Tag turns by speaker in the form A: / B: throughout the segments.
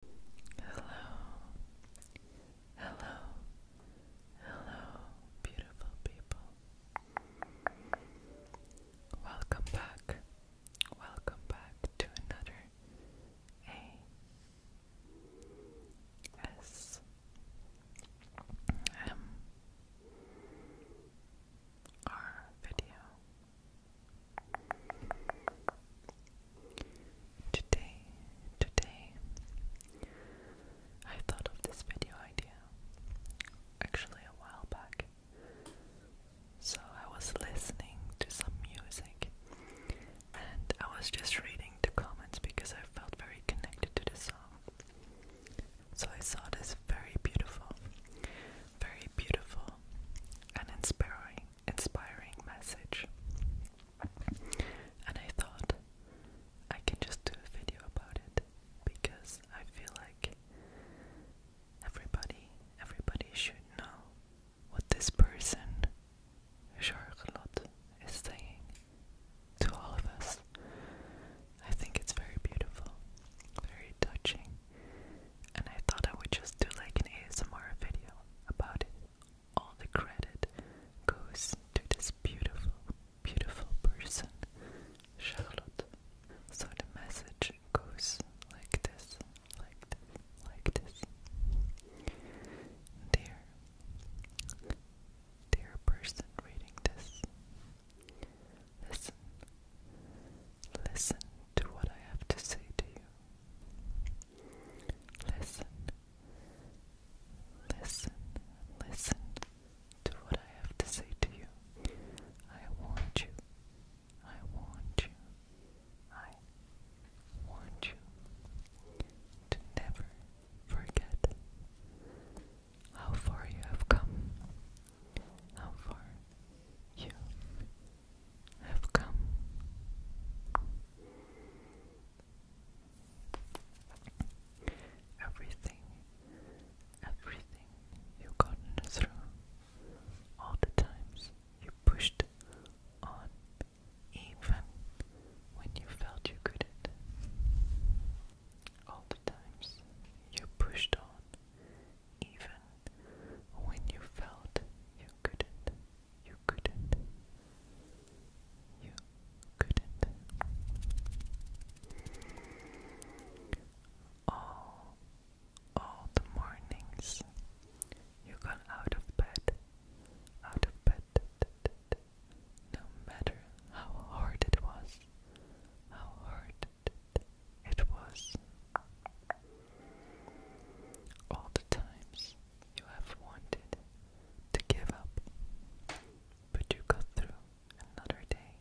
A: Hello, hello, hello, beautiful people. Welcome back, welcome back to another A S M R video. Today, today, I thought of this video idea actually a while back. So I was listening to some music and I was just reading the comments because I felt very connected to the song. So I saw this very beautiful, very beautiful and inspiring inspiring message. And I thought I can just do a video about it because I feel like everybody, everybody should know what this person, Charlotte, is saying to all of us. I think it's very beautiful, very touching, and I thought I would just do like an ASMR video about it. All the credit goes to this beautiful, beautiful person, Charlotte. So the message goes like this, like this, Dear, dear person reading this, listen. Listen to what I have to say to you. Listen. Listen. Listen to what I have to say to you. I want you. I want you. I want you to never forget how far you have come how far you have come. Everything, everything you've gotten through, all the times you pushed on, even when you felt you couldn't, all the times you pushed on, even when you felt you couldn't, you couldn't, you couldn't. All, all the mornings you got out of bed, out of bed, no matter how hard it was, how hard it was. All the times you have wanted to give up, but you go through another day.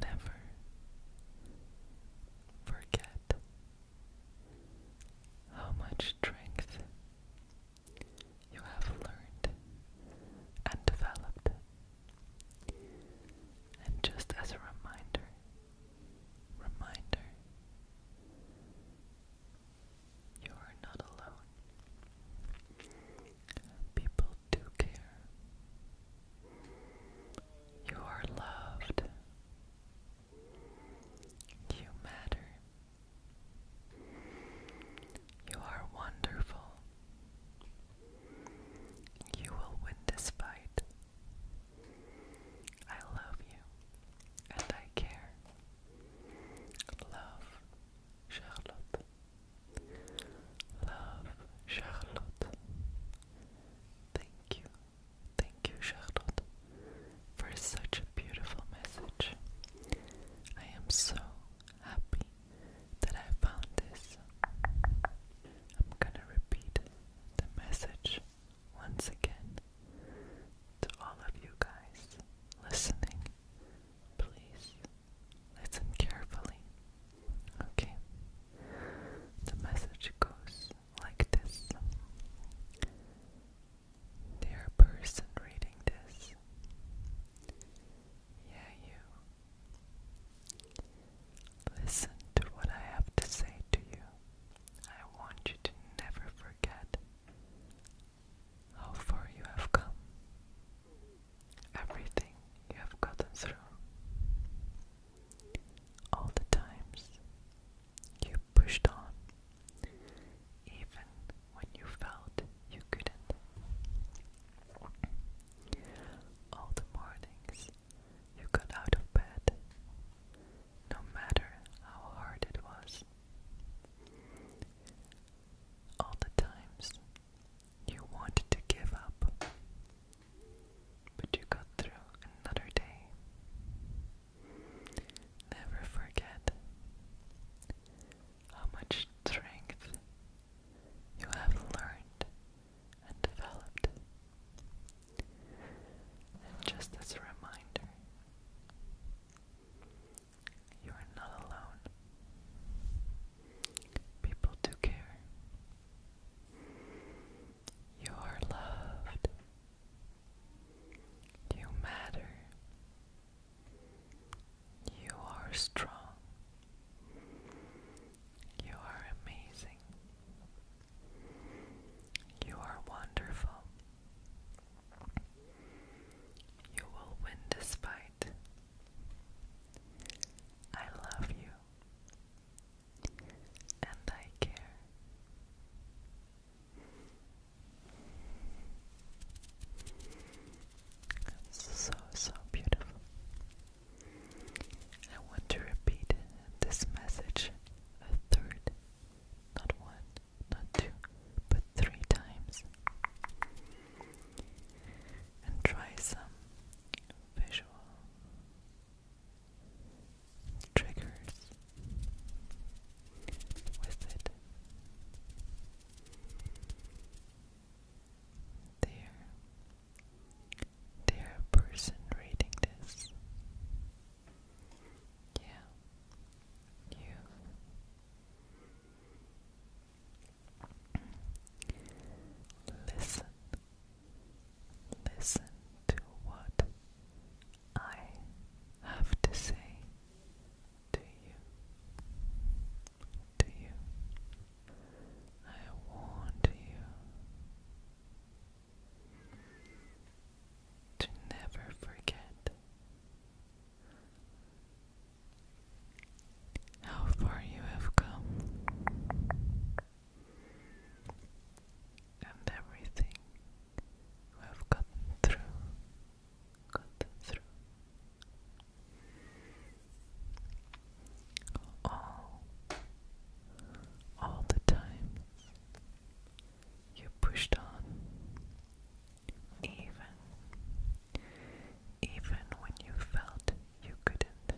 A: Never forget how much strength you have learned and developed. And just as a reminder, reminder, you are not alone. People do care. You are loved. You matter. You are wonderful. You will win this fight. I love you and I care. Love, Charlotte. Love, Charlotte. Thank you, thank you, Charlotte, for such a beautiful message. I am so happy that I found this. I'm gonna repeat the message once again to all of you guys listening. Please listen carefully. Okay, the message goes like this Dear person reading this, yeah, you. Listen to what I have to say to you. I want you to never forget how far you have come, everything you have gotten through, all the times you pushed on, even when you felt you couldn't. All the mornings you got out of bed, no matter how hard it was. All the times you wanted to give up, but you got through another day. Never forget how much strength you have learned and developed. And just as a reminder, you are not alone. People do care. You are loved. You matter. You are strong. You are amazing. You are wonderful. You will win this fight. I love you. And I care. So, so beautiful. I want to repeat this message a third, not one, not two, but three times. And try some visual triggers with it. There, there, person reading this. Yeah, you. Listen, listen to what I have to say to you, to you, I warn you to never forget how far you have come and everything we have gotten through, gotten through. All, all the times you pushed on, even, even when you felt you couldn't.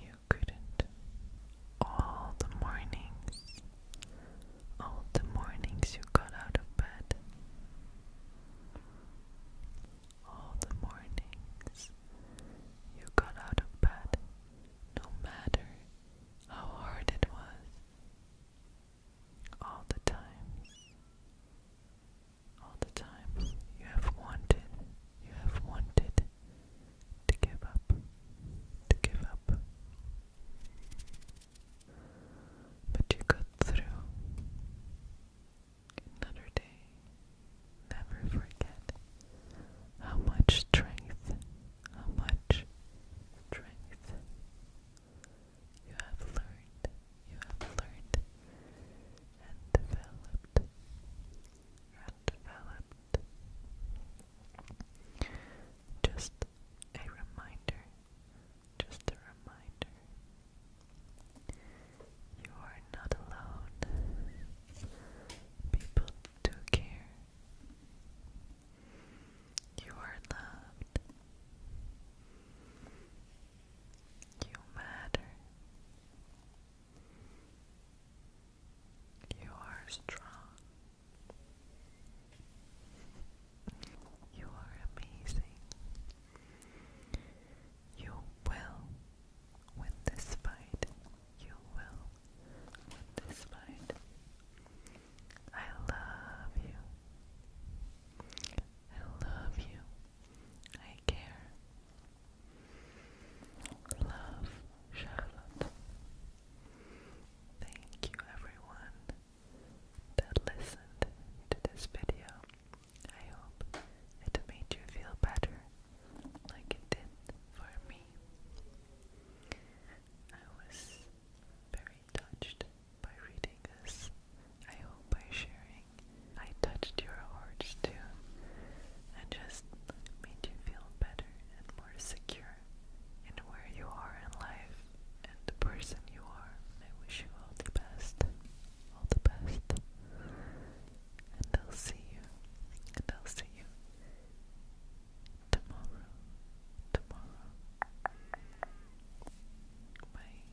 A: You couldn't. All the mornings, all the mornings you got out of bed. All the mornings you got out of bed, no matter how hard it was. All the times, all the times you have wanted, you have wanted to give up, to give up. But you got through another day. Never forget how much strength, how much strength you have learned, you have learned and developed developed. Just a reminder, just a reminder. You are not alone. People do care. You are loved. You matter. You are strong. You are amazing. You will win this fight. You will win this fight. I love you. I love you. I care. Love, Charlotte. Thank you, everyone, that listened to this video. I hope it made you feel better, like it did for me. I was very touched by reading this I hope by sharing I touched your hearts too and just made you feel better and more secure in where you are in life and the person you are. I wish you all the best. All the best. And I'll see you. And I'll see you tomorrow. Tomorrow. Bye.